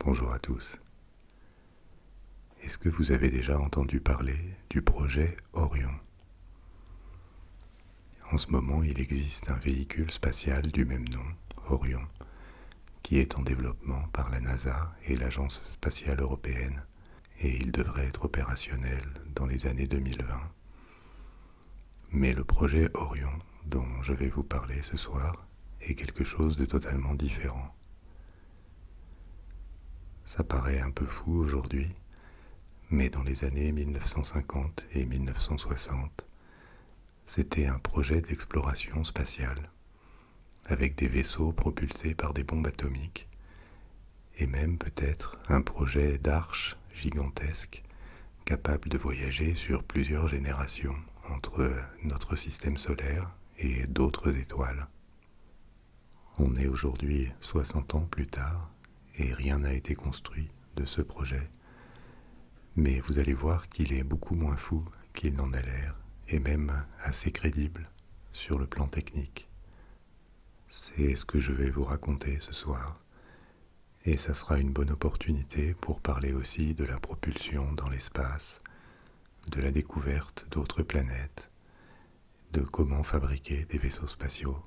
Bonjour à tous. Est-ce que vous avez déjà entendu parler du projet Orion En ce moment, il existe un véhicule spatial du même nom, Orion, qui est en développement par la NASA et l'Agence spatiale européenne, et il devrait être opérationnel dans les années 2020. Mais le projet Orion, dont je vais vous parler ce soir, et quelque chose de totalement différent. Ça paraît un peu fou aujourd'hui, mais dans les années 1950 et 1960, c'était un projet d'exploration spatiale, avec des vaisseaux propulsés par des bombes atomiques, et même peut-être un projet d'arche gigantesque capable de voyager sur plusieurs générations entre notre système solaire et d'autres étoiles. On est aujourd'hui 60 ans plus tard et rien n'a été construit de ce projet, mais vous allez voir qu'il est beaucoup moins fou qu'il n'en a l'air et même assez crédible sur le plan technique. C'est ce que je vais vous raconter ce soir et ça sera une bonne opportunité pour parler aussi de la propulsion dans l'espace de la découverte d'autres planètes, de comment fabriquer des vaisseaux spatiaux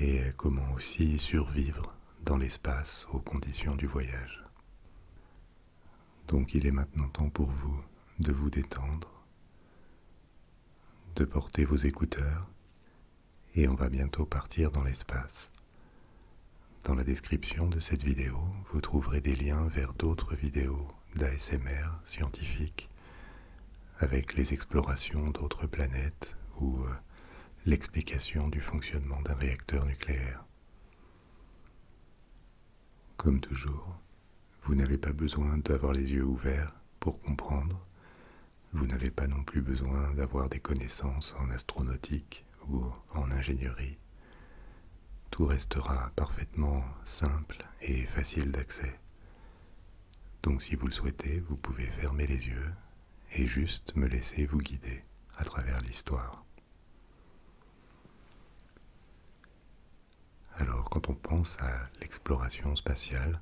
et comment aussi survivre dans l'espace aux conditions du voyage. Donc il est maintenant temps pour vous de vous détendre, de porter vos écouteurs, et on va bientôt partir dans l'espace. Dans la description de cette vidéo, vous trouverez des liens vers d'autres vidéos d'ASMR scientifiques avec les explorations d'autres planètes ou euh, l'explication du fonctionnement d'un réacteur nucléaire. Comme toujours, vous n'avez pas besoin d'avoir les yeux ouverts pour comprendre, vous n'avez pas non plus besoin d'avoir des connaissances en astronautique ou en ingénierie, tout restera parfaitement simple et facile d'accès. Donc si vous le souhaitez, vous pouvez fermer les yeux et juste me laisser vous guider à travers l'histoire. Alors quand on pense à l'exploration spatiale,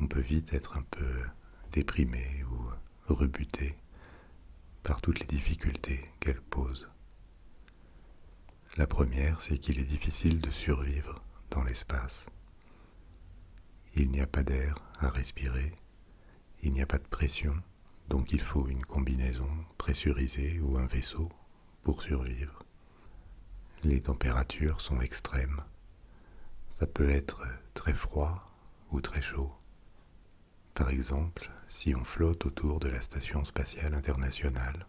on peut vite être un peu déprimé ou rebutée par toutes les difficultés qu'elle pose. La première, c'est qu'il est difficile de survivre dans l'espace. Il n'y a pas d'air à respirer, il n'y a pas de pression, donc il faut une combinaison pressurisée ou un vaisseau pour survivre. Les températures sont extrêmes. Ça peut être très froid ou très chaud. Par exemple, si on flotte autour de la Station spatiale internationale,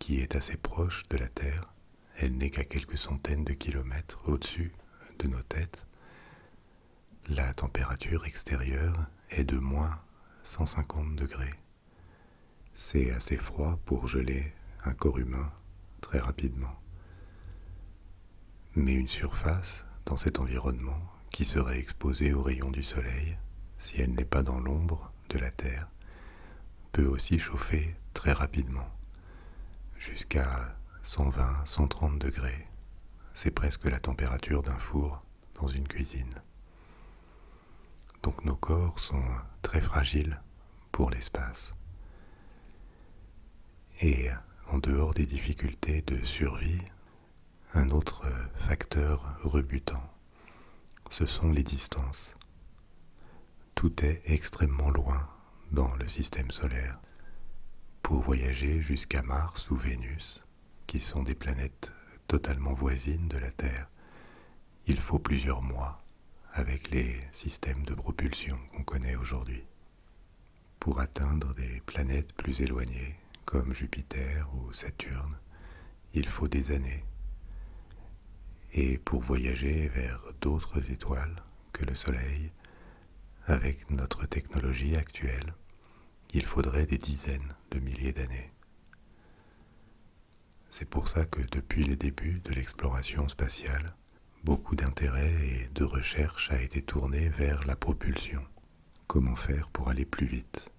qui est assez proche de la Terre, elle n'est qu'à quelques centaines de kilomètres au-dessus de nos têtes, la température extérieure est de moins 150 degrés. C'est assez froid pour geler un corps humain très rapidement mais une surface dans cet environnement qui serait exposée aux rayons du soleil, si elle n'est pas dans l'ombre de la Terre, peut aussi chauffer très rapidement, jusqu'à 120-130 degrés. C'est presque la température d'un four dans une cuisine. Donc nos corps sont très fragiles pour l'espace. Et en dehors des difficultés de survie un autre facteur rebutant, ce sont les distances. Tout est extrêmement loin dans le système solaire. Pour voyager jusqu'à Mars ou Vénus, qui sont des planètes totalement voisines de la Terre, il faut plusieurs mois avec les systèmes de propulsion qu'on connaît aujourd'hui pour atteindre des planètes plus éloignées, comme Jupiter ou Saturne, il faut des années. Et pour voyager vers d'autres étoiles que le Soleil, avec notre technologie actuelle, il faudrait des dizaines de milliers d'années. C'est pour ça que depuis les débuts de l'exploration spatiale, beaucoup d'intérêt et de recherche a été tourné vers la propulsion Comment faire pour aller plus vite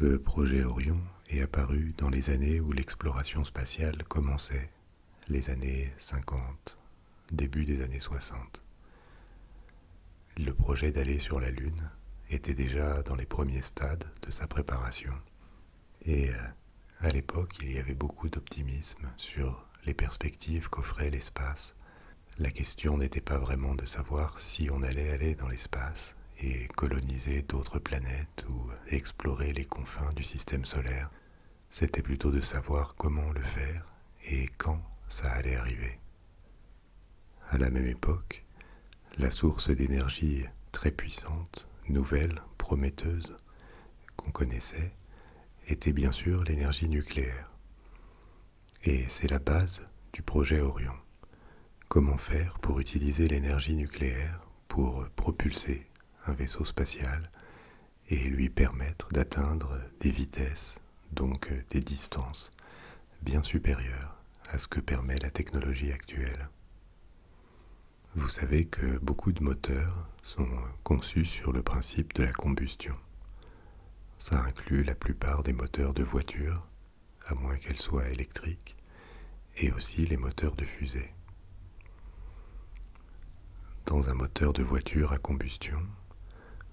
Le projet Orion est apparu dans les années où l'exploration spatiale commençait, les années 50, début des années 60. Le projet d'aller sur la Lune était déjà dans les premiers stades de sa préparation. Et euh, à l'époque, il y avait beaucoup d'optimisme sur les perspectives qu'offrait l'espace la question n'était pas vraiment de savoir si on allait aller dans l'espace et coloniser d'autres planètes ou explorer les confins du système solaire, c'était plutôt de savoir comment le faire et quand ça allait arriver. À la même époque, la source d'énergie très puissante, nouvelle, prometteuse, qu'on connaissait, était bien sûr l'énergie nucléaire. Et c'est la base du projet Orion. Comment faire pour utiliser l'énergie nucléaire pour propulser un vaisseau spatial et lui permettre d'atteindre des vitesses, donc des distances, bien supérieures à ce que permet la technologie actuelle. Vous savez que beaucoup de moteurs sont conçus sur le principe de la combustion. Ça inclut la plupart des moteurs de voitures, à moins qu'elles soient électriques, et aussi les moteurs de fusées. Dans un moteur de voiture à combustion,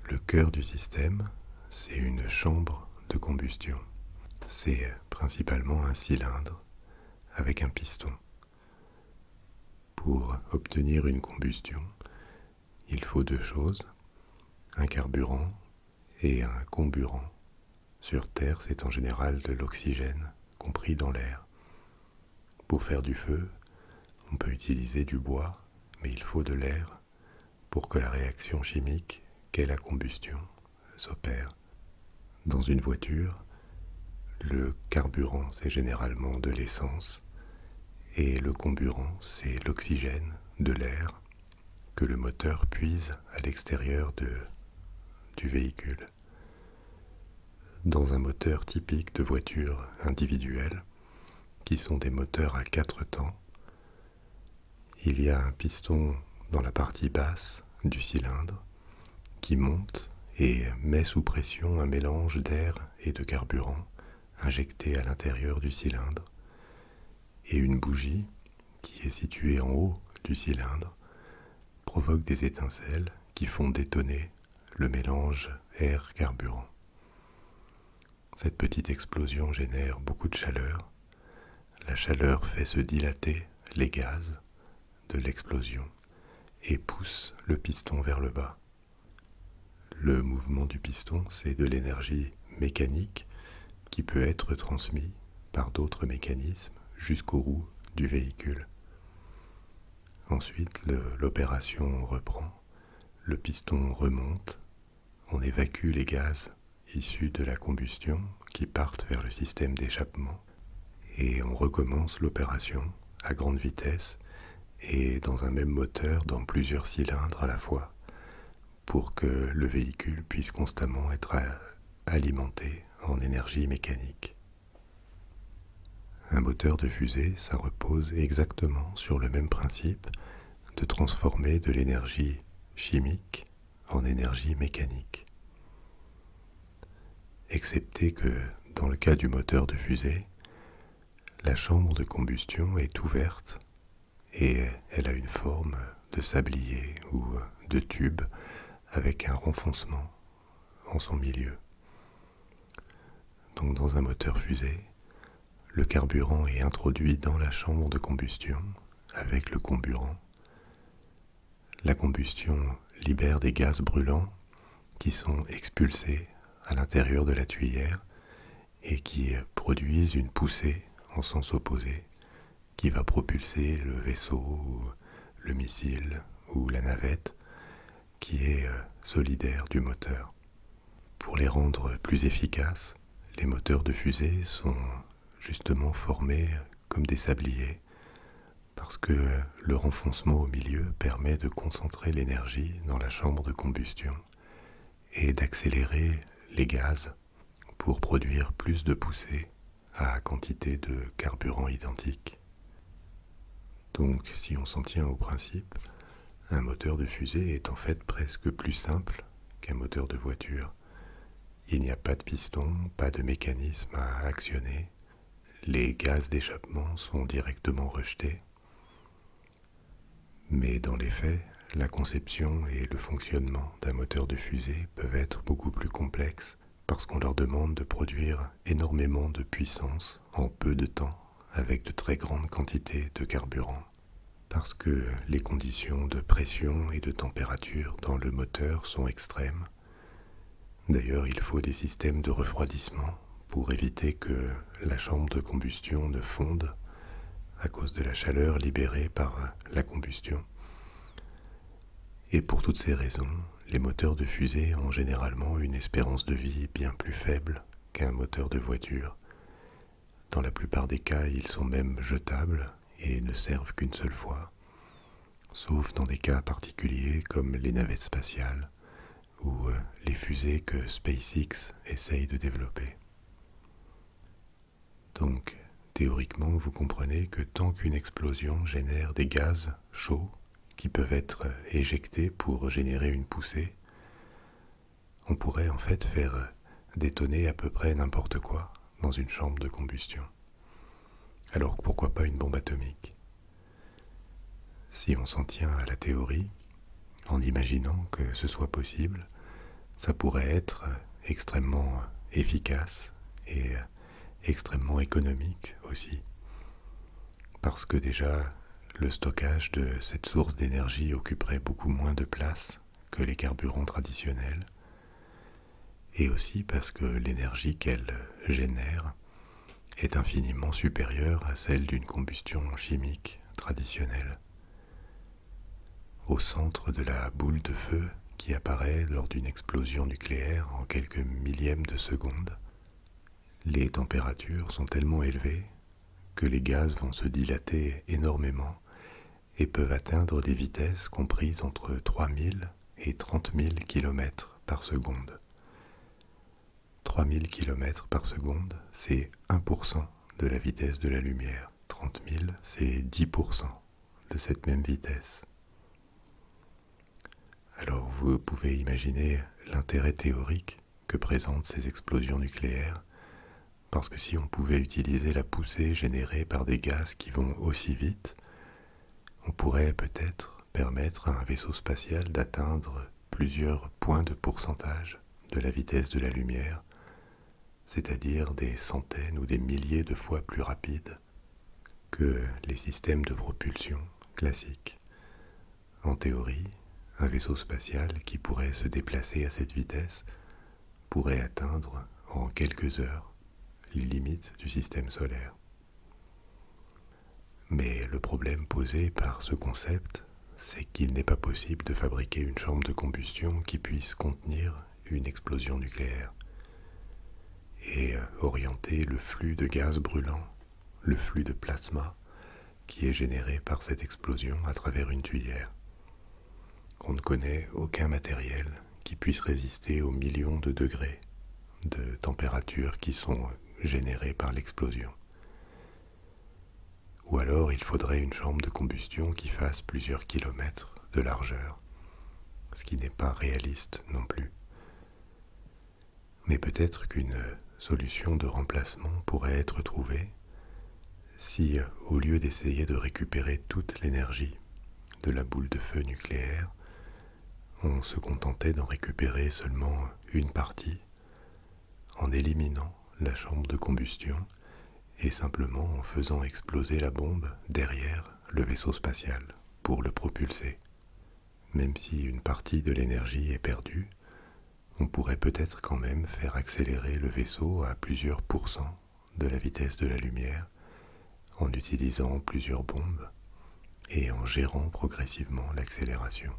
le cœur du système, c'est une chambre de combustion. C'est principalement un cylindre avec un piston. Pour obtenir une combustion, il faut deux choses, un carburant et un comburant. Sur Terre, c'est en général de l'oxygène, compris dans l'air. Pour faire du feu, on peut utiliser du bois, mais il faut de l'air pour que la réaction chimique qu'est la combustion s'opère. Dans une voiture, le carburant, c'est généralement de l'essence et le comburant, c'est l'oxygène de l'air que le moteur puise à l'extérieur du véhicule. Dans un moteur typique de voiture individuelle, qui sont des moteurs à quatre temps, il y a un piston dans la partie basse du cylindre qui monte et met sous pression un mélange d'air et de carburant injectée à l'intérieur du cylindre, et une bougie, qui est située en haut du cylindre, provoque des étincelles qui font détonner le mélange air-carburant. Cette petite explosion génère beaucoup de chaleur. La chaleur fait se dilater les gaz de l'explosion et pousse le piston vers le bas, le mouvement du piston, c'est de l'énergie mécanique qui peut être transmise par d'autres mécanismes jusqu'aux roues du véhicule. Ensuite, l'opération reprend, le piston remonte, on évacue les gaz issus de la combustion qui partent vers le système d'échappement et on recommence l'opération à grande vitesse et dans un même moteur dans plusieurs cylindres à la fois pour que le véhicule puisse constamment être alimenté en énergie mécanique. Un moteur de fusée, ça repose exactement sur le même principe de transformer de l'énergie chimique en énergie mécanique. Excepté que, dans le cas du moteur de fusée, la chambre de combustion est ouverte et euh, elle a une forme de sablier ou euh, de tube avec un renfoncement en son milieu. Donc dans un moteur fusée, le carburant est introduit dans la chambre de combustion avec le comburant. La combustion libère des gaz brûlants qui sont expulsés à l'intérieur de la tuyère et qui produisent une poussée en sens opposé qui va propulser le vaisseau, le missile ou la navette qui est euh, solidaire du moteur. Pour les rendre plus efficaces, les moteurs de fusée sont justement formés comme des sabliers parce que euh, le renfoncement au milieu permet de concentrer l'énergie dans la chambre de combustion et d'accélérer les gaz pour produire plus de poussée à quantité de carburant identique. Donc si on s'en tient au principe, un moteur de fusée est en fait presque plus simple qu'un moteur de voiture. Il n'y a pas de piston, pas de mécanisme à actionner, les gaz d'échappement sont directement rejetés, mais dans les faits, la conception et le fonctionnement d'un moteur de fusée peuvent être beaucoup plus complexes parce qu'on leur demande de produire énormément de puissance en peu de temps avec de très grandes quantités de carburant, parce que les conditions de pression et de température dans le moteur sont extrêmes. D'ailleurs, il faut des systèmes de refroidissement pour éviter que la chambre de combustion ne fonde à cause de la chaleur libérée par la combustion. Et pour toutes ces raisons, les moteurs de fusée ont généralement une espérance de vie bien plus faible qu'un moteur de voiture. Dans la plupart des cas, ils sont même jetables et ne servent qu'une seule fois, sauf dans des cas particuliers comme les navettes spatiales ou euh, les fusées que SpaceX essaye de développer. Donc, théoriquement, vous comprenez que tant qu'une explosion génère des gaz chauds qui peuvent être éjectés pour générer une poussée, on pourrait en fait faire détonner à peu près n'importe quoi dans une chambre de combustion. Alors pourquoi pas une bombe atomique Si on s'en tient à la théorie, en imaginant que ce soit possible, ça pourrait être extrêmement efficace et extrêmement économique aussi. Parce que déjà, le stockage de cette source d'énergie occuperait beaucoup moins de place que les carburants traditionnels, et aussi parce que l'énergie qu'elle génère est infiniment supérieure à celle d'une combustion chimique traditionnelle. Au centre de la boule de feu qui apparaît lors d'une explosion nucléaire en quelques millièmes de seconde, les températures sont tellement élevées que les gaz vont se dilater énormément et peuvent atteindre des vitesses comprises entre 3000 et 30 000 km par seconde. 3000 km par seconde, c'est 1% de la vitesse de la lumière. 30 000, c'est 10% de cette même vitesse. Alors vous pouvez imaginer l'intérêt théorique que présentent ces explosions nucléaires, parce que si on pouvait utiliser la poussée générée par des gaz qui vont aussi vite, on pourrait peut-être permettre à un vaisseau spatial d'atteindre plusieurs points de pourcentage de la vitesse de la lumière c'est-à-dire des centaines ou des milliers de fois plus rapides que les systèmes de propulsion classiques. En théorie, un vaisseau spatial qui pourrait se déplacer à cette vitesse pourrait atteindre en quelques heures les limites du système solaire. Mais le problème posé par ce concept c'est qu'il n'est pas possible de fabriquer une chambre de combustion qui puisse contenir une explosion nucléaire et euh, orienter le flux de gaz brûlant, le flux de plasma qui est généré par cette explosion à travers une tuyère. On ne connaît aucun matériel qui puisse résister aux millions de degrés de température qui sont euh, générés par l'explosion ou alors il faudrait une chambre de combustion qui fasse plusieurs kilomètres de largeur, ce qui n'est pas réaliste non plus. Mais peut-être qu'une solution de remplacement pourrait être trouvée si, au lieu d'essayer de récupérer toute l'énergie de la boule de feu nucléaire, on se contentait d'en récupérer seulement une partie, en éliminant la chambre de combustion et simplement en faisant exploser la bombe derrière le vaisseau spatial pour le propulser. Même si une partie de l'énergie est perdue, on pourrait peut-être quand même faire accélérer le vaisseau à plusieurs pourcents de la vitesse de la lumière en utilisant plusieurs bombes et en gérant progressivement l'accélération.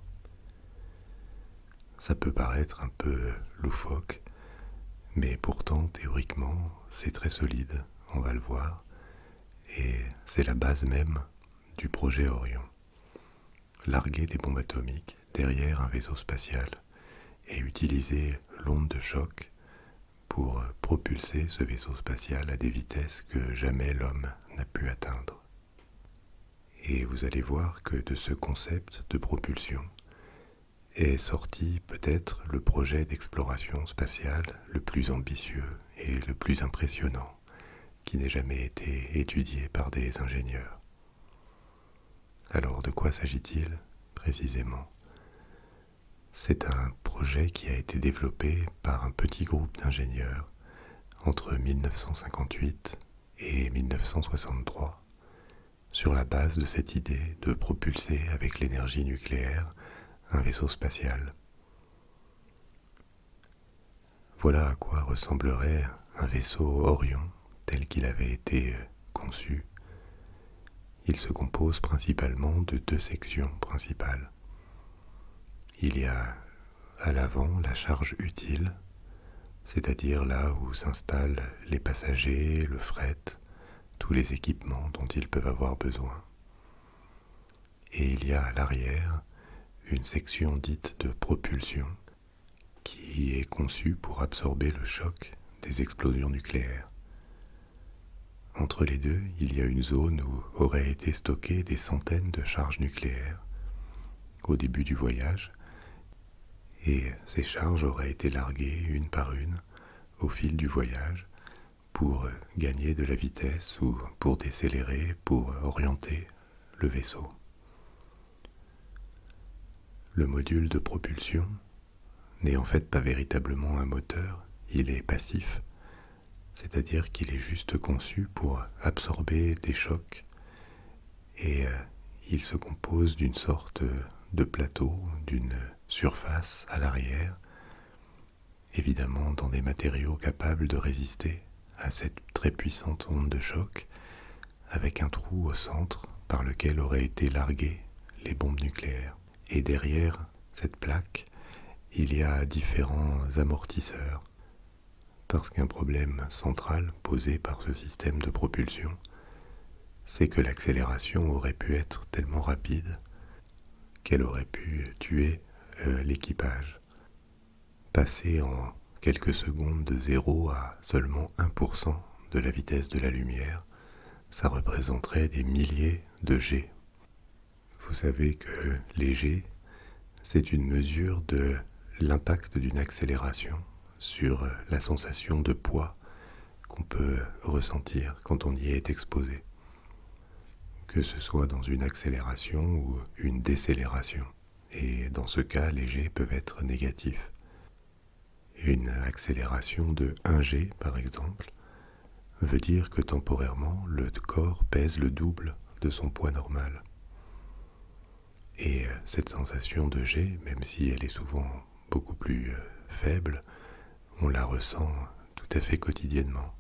Ça peut paraître un peu loufoque, mais pourtant théoriquement c'est très solide, on va le voir, et c'est la base même du projet Orion. Larguer des bombes atomiques derrière un vaisseau spatial et utiliser l'onde de choc pour propulser ce vaisseau spatial à des vitesses que jamais l'homme n'a pu atteindre. Et vous allez voir que de ce concept de propulsion est sorti peut-être le projet d'exploration spatiale le plus ambitieux et le plus impressionnant qui n'ait jamais été étudié par des ingénieurs. Alors de quoi s'agit-il précisément C'est un projet qui a été développé par un petit groupe d'ingénieurs entre 1958 et 1963 sur la base de cette idée de propulser avec l'énergie nucléaire un vaisseau spatial. Voilà à quoi ressemblerait un vaisseau Orion tel qu'il avait été euh, conçu. Il se compose principalement de deux sections principales. Il y a à l'avant la charge utile, c'est-à-dire là où s'installent les passagers, le fret, tous les équipements dont ils peuvent avoir besoin. Et il y a à l'arrière une section dite de propulsion qui est conçue pour absorber le choc des explosions nucléaires. Entre les deux, il y a une zone où auraient été stockées des centaines de charges nucléaires. Au début du voyage, et ces charges auraient été larguées une par une au fil du voyage pour gagner de la vitesse ou pour décélérer, pour orienter le vaisseau. Le module de propulsion n'est en fait pas véritablement un moteur, il est passif, c'est-à-dire qu'il est juste conçu pour absorber des chocs et euh, il se compose d'une sorte de plateaux d'une surface à l'arrière, évidemment dans des matériaux capables de résister à cette très puissante onde de choc, avec un trou au centre par lequel auraient été larguées les bombes nucléaires. Et derrière cette plaque, il y a différents amortisseurs, parce qu'un problème central posé par ce système de propulsion, c'est que l'accélération aurait pu être tellement rapide qu'elle aurait pu tuer euh, l'équipage. Passer en quelques secondes de 0 à seulement 1% de la vitesse de la lumière, ça représenterait des milliers de G. Vous savez que les G, c'est une mesure de l'impact d'une accélération sur euh, la sensation de poids qu'on peut ressentir quand on y est exposé, que ce soit dans une accélération ou une décélération, et dans ce cas les G peuvent être négatifs. Une accélération de 1G par exemple veut dire que temporairement le corps pèse le double de son poids normal. Et euh, cette sensation de G, même si elle est souvent beaucoup plus euh, faible, on la ressent tout à fait quotidiennement.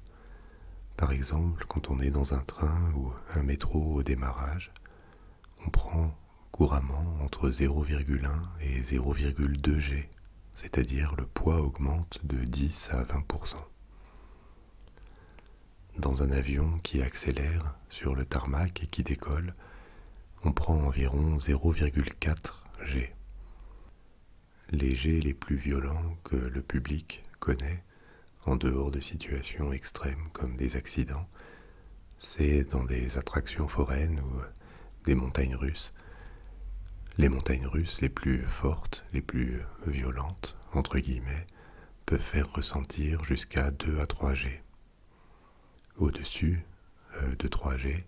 Par exemple, quand on est dans un train ou un métro au démarrage, on prend couramment entre 0,1 et 0,2 G, c'est-à-dire le poids augmente de 10 à 20%. Dans un avion qui accélère sur le tarmac et qui décolle, on prend environ 0,4 G. Les G les plus violents que le public connaît, en dehors de situations extrêmes comme des accidents, c'est dans des attractions foraines ou des montagnes russes. Les montagnes russes les plus fortes, les plus violentes, entre guillemets, peuvent faire ressentir jusqu'à 2 à 3 G au-dessus euh, de 3G,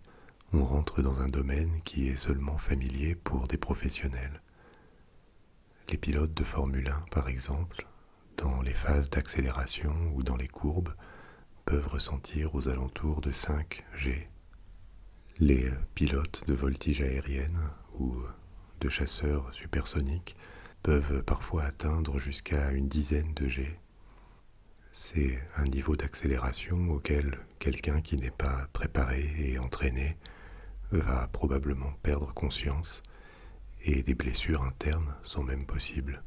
on rentre dans un domaine qui est seulement familier pour des professionnels. Les pilotes de Formule 1, par exemple, dans les phases d'accélération ou dans les courbes, peuvent ressentir aux alentours de 5G. Les euh, pilotes de voltige aérienne ou euh, de chasseurs supersoniques peuvent parfois atteindre jusqu'à une dizaine de G c'est un niveau d'accélération auquel quelqu'un qui n'est pas préparé et entraîné va probablement perdre conscience et des blessures internes sont même possibles.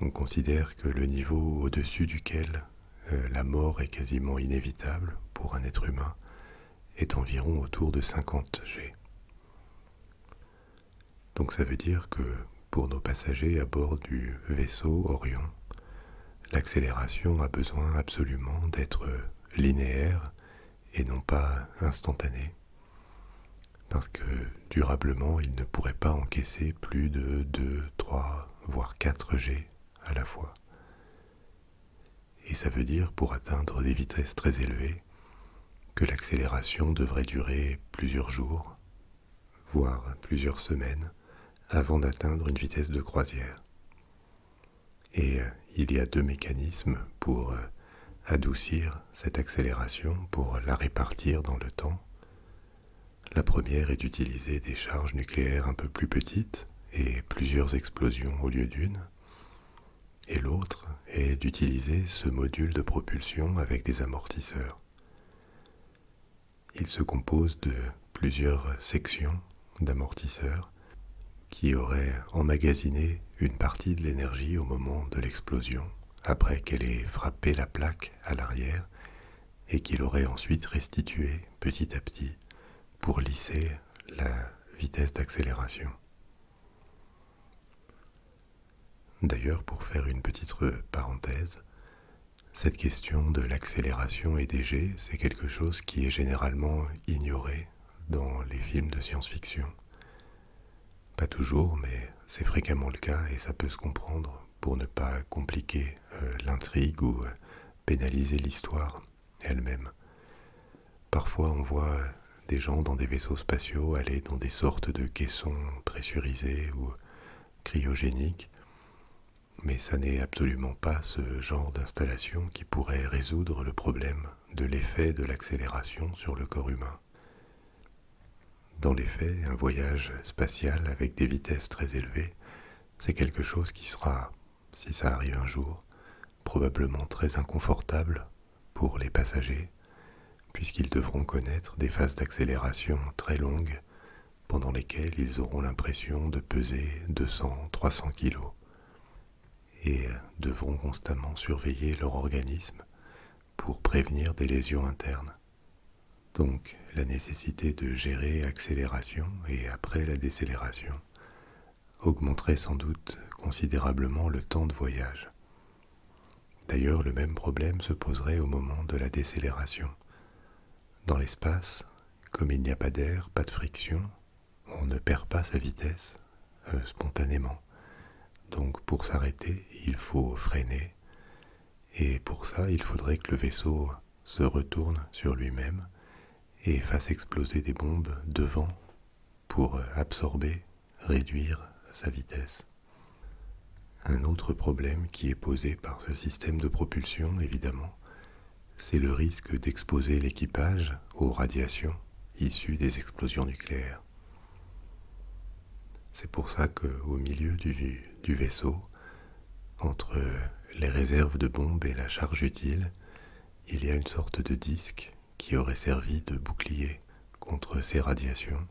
On considère que le niveau au-dessus duquel euh, la mort est quasiment inévitable pour un être humain est environ autour de 50 G. Donc ça veut dire que pour nos passagers à bord du vaisseau Orion, l'accélération a besoin absolument d'être linéaire et non pas instantanée, parce que durablement ils ne pourraient pas encaisser plus de 2, 3, voire 4 G à la fois. Et ça veut dire pour atteindre des vitesses très élevées que l'accélération devrait durer plusieurs jours, voire plusieurs semaines, avant d'atteindre une vitesse de croisière. Et euh, il y a deux mécanismes pour euh, adoucir cette accélération, pour la répartir dans le temps. La première est d'utiliser des charges nucléaires un peu plus petites et plusieurs explosions au lieu d'une. Et l'autre est d'utiliser ce module de propulsion avec des amortisseurs. Il se compose de plusieurs sections d'amortisseurs qui auraient emmagasiné une partie de l'énergie au moment de l'explosion, après qu'elle ait frappé la plaque à l'arrière, et qu'il aurait ensuite restitué petit à petit pour lisser la vitesse d'accélération. D'ailleurs, pour faire une petite parenthèse, cette question de l'accélération et des jets, c'est quelque chose qui est généralement ignoré dans les films de science-fiction. Pas toujours, mais c'est fréquemment le cas et ça peut se comprendre pour ne pas compliquer euh, l'intrigue ou euh, pénaliser l'histoire elle-même. Parfois on voit des gens dans des vaisseaux spatiaux aller dans des sortes de caissons pressurisés ou cryogénique, mais ça n'est absolument pas ce genre d'installation qui pourrait résoudre le problème de l'effet de l'accélération sur le corps humain. Dans les faits, un voyage spatial avec des vitesses très élevées, c'est quelque chose qui sera, si ça arrive un jour, probablement très inconfortable pour les passagers, puisqu'ils devront connaître des phases d'accélération très longues pendant lesquels ils auront l'impression de peser 200-300 kilos et devront constamment surveiller leur organisme pour prévenir des lésions internes. Donc la nécessité de gérer accélération et après la décélération augmenterait sans doute considérablement le temps de voyage. D'ailleurs, le même problème se poserait au moment de la décélération, dans l'espace, comme il n'y a pas d'air, pas de friction, on ne perd pas sa vitesse euh, spontanément. Donc pour s'arrêter, il faut freiner, et pour ça, il faudrait que le vaisseau se retourne sur lui-même et fasse exploser des bombes devant pour euh, absorber, réduire sa vitesse. Un autre problème qui est posé par ce système de propulsion, évidemment, c'est le risque d'exposer l'équipage aux radiations issues des explosions nucléaires. C'est pour ça qu'au milieu du, du, vaisseau, entre les réserves de bombes et la charge utile, il y a une sorte de disque qui aurait servi de bouclier contre ces radiations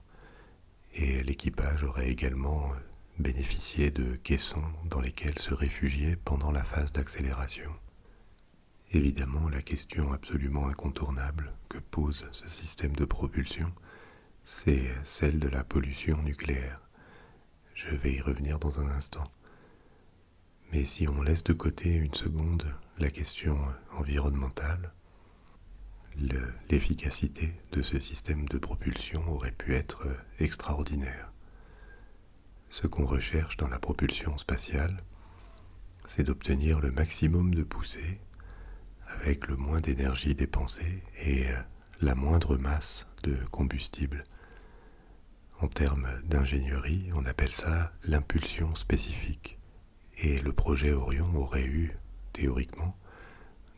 et l'équipage aurait également euh, bénéficié de caissons dans lesquels se réfugier pendant la phase d'accélération. Évidemment, la question absolument incontournable que pose ce système de propulsion, c'est celle de la pollution nucléaire. Je vais y revenir dans un instant. Mais si on laisse de côté une seconde la question environnementale, l'efficacité de ce système de propulsion aurait pu être euh, extraordinaire. Ce qu'on recherche dans la propulsion spatiale, c'est d'obtenir le maximum de poussée avec le moins d'énergie dépensée et euh, la moindre masse de combustible. En termes d'ingénierie, on appelle ça l'impulsion spécifique. Et le projet Orion aurait eu, théoriquement,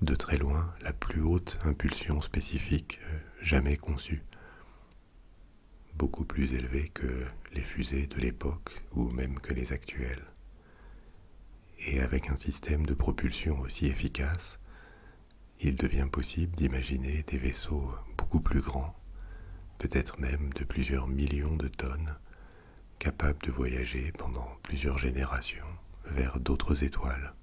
de très loin la plus haute impulsion spécifique euh, jamais conçue, beaucoup plus élevée que les fusées de l'époque ou même que les actuelles. Et avec un système de propulsion aussi efficace, il devient possible d'imaginer des vaisseaux beaucoup plus grands, peut-être même de plusieurs millions de tonnes, capables de voyager pendant plusieurs générations vers d'autres étoiles.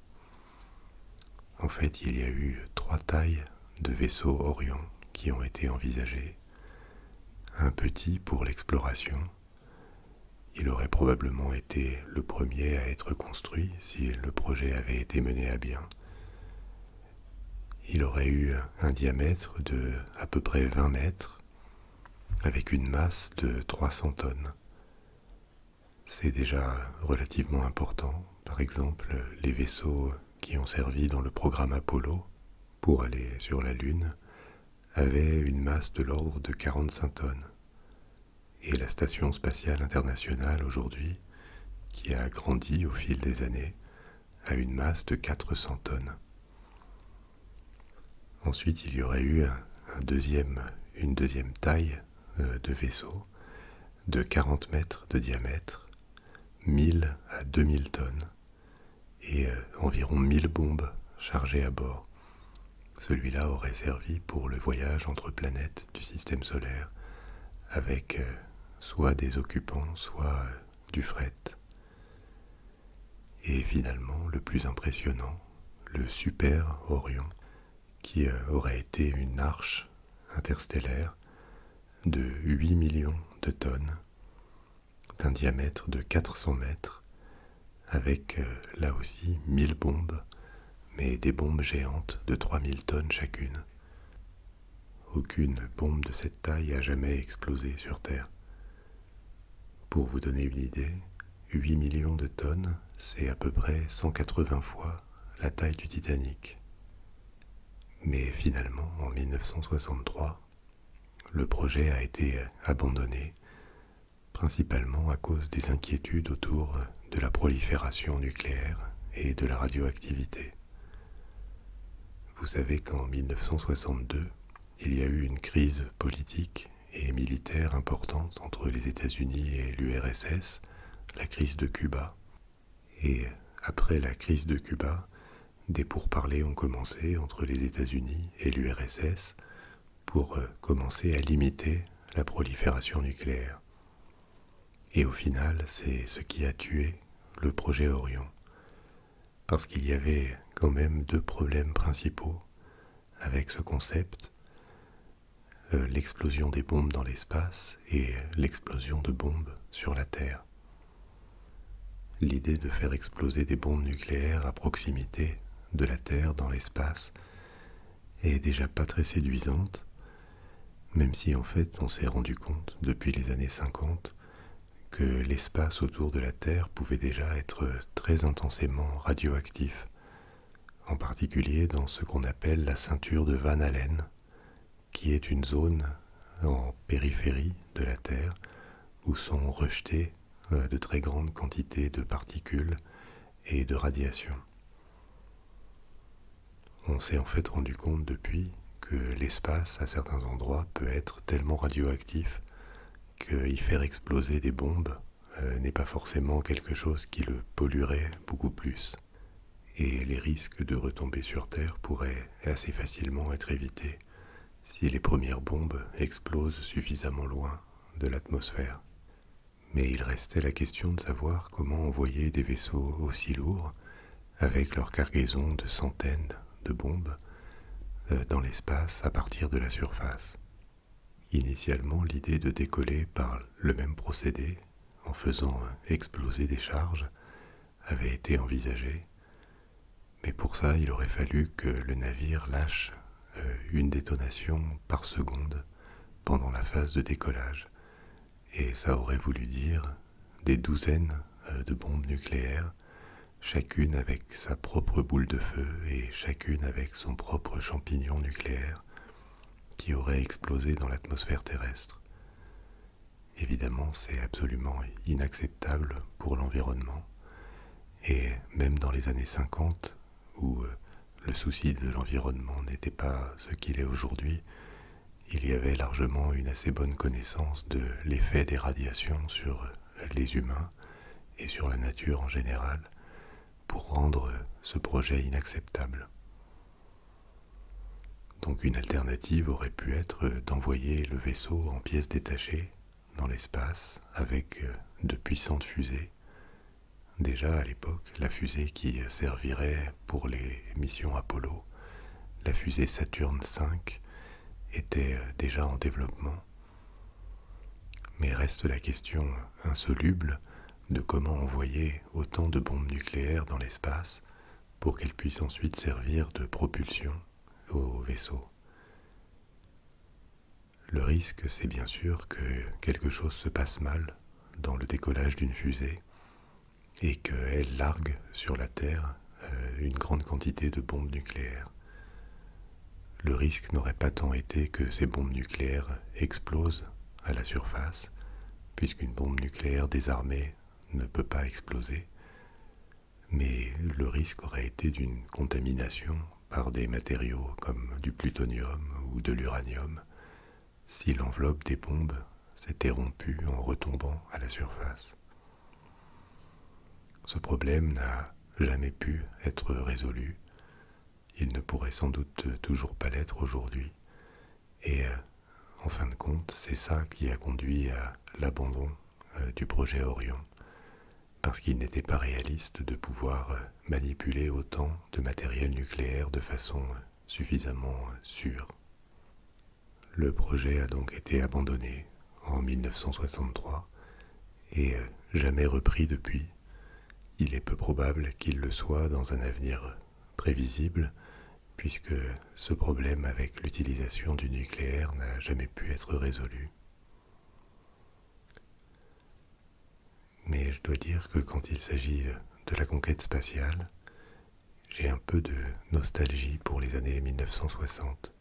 En fait, il y a eu trois tailles de vaisseaux Orion qui ont été envisagées. Un petit pour l'exploration. Il aurait probablement été le premier à être construit si le projet avait été mené à bien. Il aurait eu un diamètre de à peu près 20 mètres avec une masse de 300 tonnes. C'est déjà relativement important, par exemple les vaisseaux qui ont servi dans le programme Apollo pour aller sur la Lune avaient une masse de l'ordre de 45 tonnes. Et la Station spatiale internationale aujourd'hui, qui a grandi au fil des années, a une masse de 400 tonnes. Ensuite, il y aurait eu une deuxième taille euh, de vaisseaux de 40 mètres de diamètre, 1000 à 2000 tonnes et euh, environ 1000 bombes chargées à bord. Celui-là aurait servi pour le voyage entre planètes du système solaire avec euh, soit des occupants, soit du fret. Et finalement, le plus impressionnant, le Super Orion, qui euh, aurait été une arche interstellaire de 8 millions de tonnes, d'un diamètre de 400 mètres, avec euh, là aussi 1000 bombes, mais des bombes géantes de 3000 tonnes chacune. Aucune bombe de cette taille a jamais explosé sur Terre. Pour vous donner une idée, 8 millions de tonnes, c'est à peu près 180 fois la taille du Titanic. Mais finalement, en 1963, le projet a été abandonné, principalement à cause des inquiétudes autour de la prolifération nucléaire et de la radioactivité. Vous savez qu'en 1962, il y a eu une crise politique et militaire importante entre les États-Unis et l'URSS, la crise de Cuba. Et après la crise de Cuba, des pourparlers ont commencé entre les États-Unis et l'URSS pour euh, commencer à limiter la prolifération nucléaire. Et au final, c'est ce qui a tué le projet Orion. Parce qu'il y avait quand même deux problèmes principaux avec ce concept. Euh, l'explosion des bombes dans l'espace et l'explosion de bombes sur la Terre. L'idée de faire exploser des bombes nucléaires à proximité de la Terre dans l'espace est déjà pas très séduisante, même si en fait on s'est rendu compte depuis les années 50 que l'espace autour de la Terre pouvait déjà être très intensément radioactif en particulier dans ce qu'on appelle la ceinture de Van Allen, qui est une zone en périphérie de la Terre où sont rejetées euh, de très grandes quantités de particules et de radiations. On s'est en fait rendu compte depuis que l'espace à certains endroits peut être tellement radioactif qu'y faire exploser des bombes euh, n'est pas forcément quelque chose qui le polluerait beaucoup plus, et les risques de retomber sur Terre pourraient assez facilement être évités si les premières bombes explosent suffisamment loin de l'atmosphère. Mais il restait la question de savoir comment envoyer des vaisseaux aussi lourds, avec leur cargaison de centaines de bombes, euh, dans l'espace à partir de la surface. Initialement, l'idée de décoller par le même procédé, en faisant exploser des charges, avait été envisagée, mais pour ça, il aurait fallu que le navire lâche euh, une détonation par seconde pendant la phase de décollage, et ça aurait voulu dire des douzaines euh, de bombes nucléaires, chacune avec sa propre boule de feu et chacune avec son propre champignon nucléaire, qui aurait explosé dans l'atmosphère terrestre. Évidemment, c'est absolument inacceptable pour l'environnement. Et même dans les années 50, où euh, le souci de l'environnement n'était pas ce qu'il est aujourd'hui, il y avait largement une assez bonne connaissance de l'effet des radiations sur les humains et sur la nature en général, pour rendre ce projet inacceptable. Donc une alternative aurait pu être d'envoyer le vaisseau en pièces détachées dans l'espace avec de puissantes fusées. Déjà à l'époque, la fusée qui servirait pour les missions Apollo, la fusée Saturne V, était déjà en développement. Mais reste la question insoluble de comment envoyer autant de bombes nucléaires dans l'espace pour qu'elles puissent ensuite servir de propulsion aux vaisseaux. Le risque, c'est bien sûr que quelque chose se passe mal dans le décollage d'une fusée et qu'elle largue sur la Terre euh, une grande quantité de bombes nucléaires. Le risque n'aurait pas tant été que ces bombes nucléaires explosent à la surface, puisqu'une bombe nucléaire désarmée ne peut pas exploser, mais le risque aurait été d'une contamination par des matériaux comme du plutonium ou de l'uranium si l'enveloppe des bombes s'était rompue en retombant à la surface. Ce problème n'a jamais pu être résolu il ne pourrait sans doute toujours pas l'être aujourd'hui. Et euh, en fin de compte, c'est ça qui a conduit à l'abandon euh, du projet Orion, parce qu'il n'était pas réaliste de pouvoir euh, manipuler autant de matériel nucléaire de façon suffisamment sûre. Le projet a donc été abandonné en 1963 et jamais repris depuis, il est peu probable qu'il le soit dans un avenir prévisible, puisque ce problème avec l'utilisation du nucléaire n'a jamais pu être résolu. Mais je dois dire que quand il s'agit de la conquête spatiale, j'ai un peu de nostalgie pour les années 1960,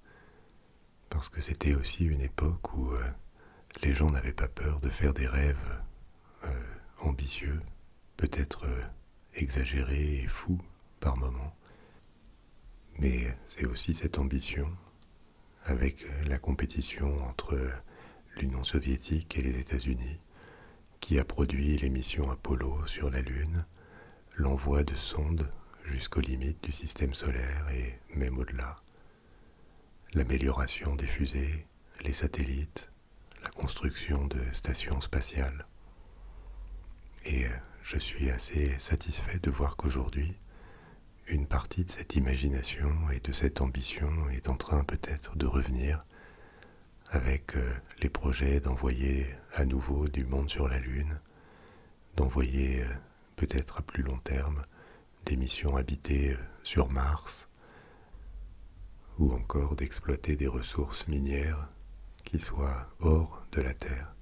parce que c'était aussi une époque où euh, les gens n'avaient pas peur de faire des rêves euh, ambitieux, peut-être euh, exagéré et fou par moments. Mais c'est aussi cette ambition, avec euh, la compétition entre l'Union soviétique et les États-Unis, qui a produit les missions Apollo sur la Lune, l'envoi de sondes jusqu'aux limites du système solaire et même au-delà, l'amélioration des fusées, les satellites, la construction de stations spatiales. Et euh, je suis assez satisfait de voir qu'aujourd'hui, une partie de cette imagination et de cette ambition est en train peut-être de revenir avec euh, les projets d'envoyer à nouveau du monde sur la Lune, d'envoyer euh, peut-être à plus long terme des missions habitées sur Mars, ou encore d'exploiter des ressources minières qui soient hors de la terre.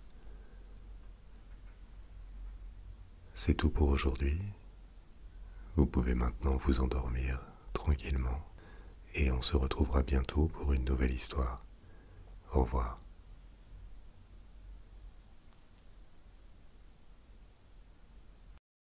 C'est tout pour aujourd'hui. Vous pouvez maintenant vous endormir tranquillement et on se retrouvera bientôt pour une nouvelle histoire. Au revoir.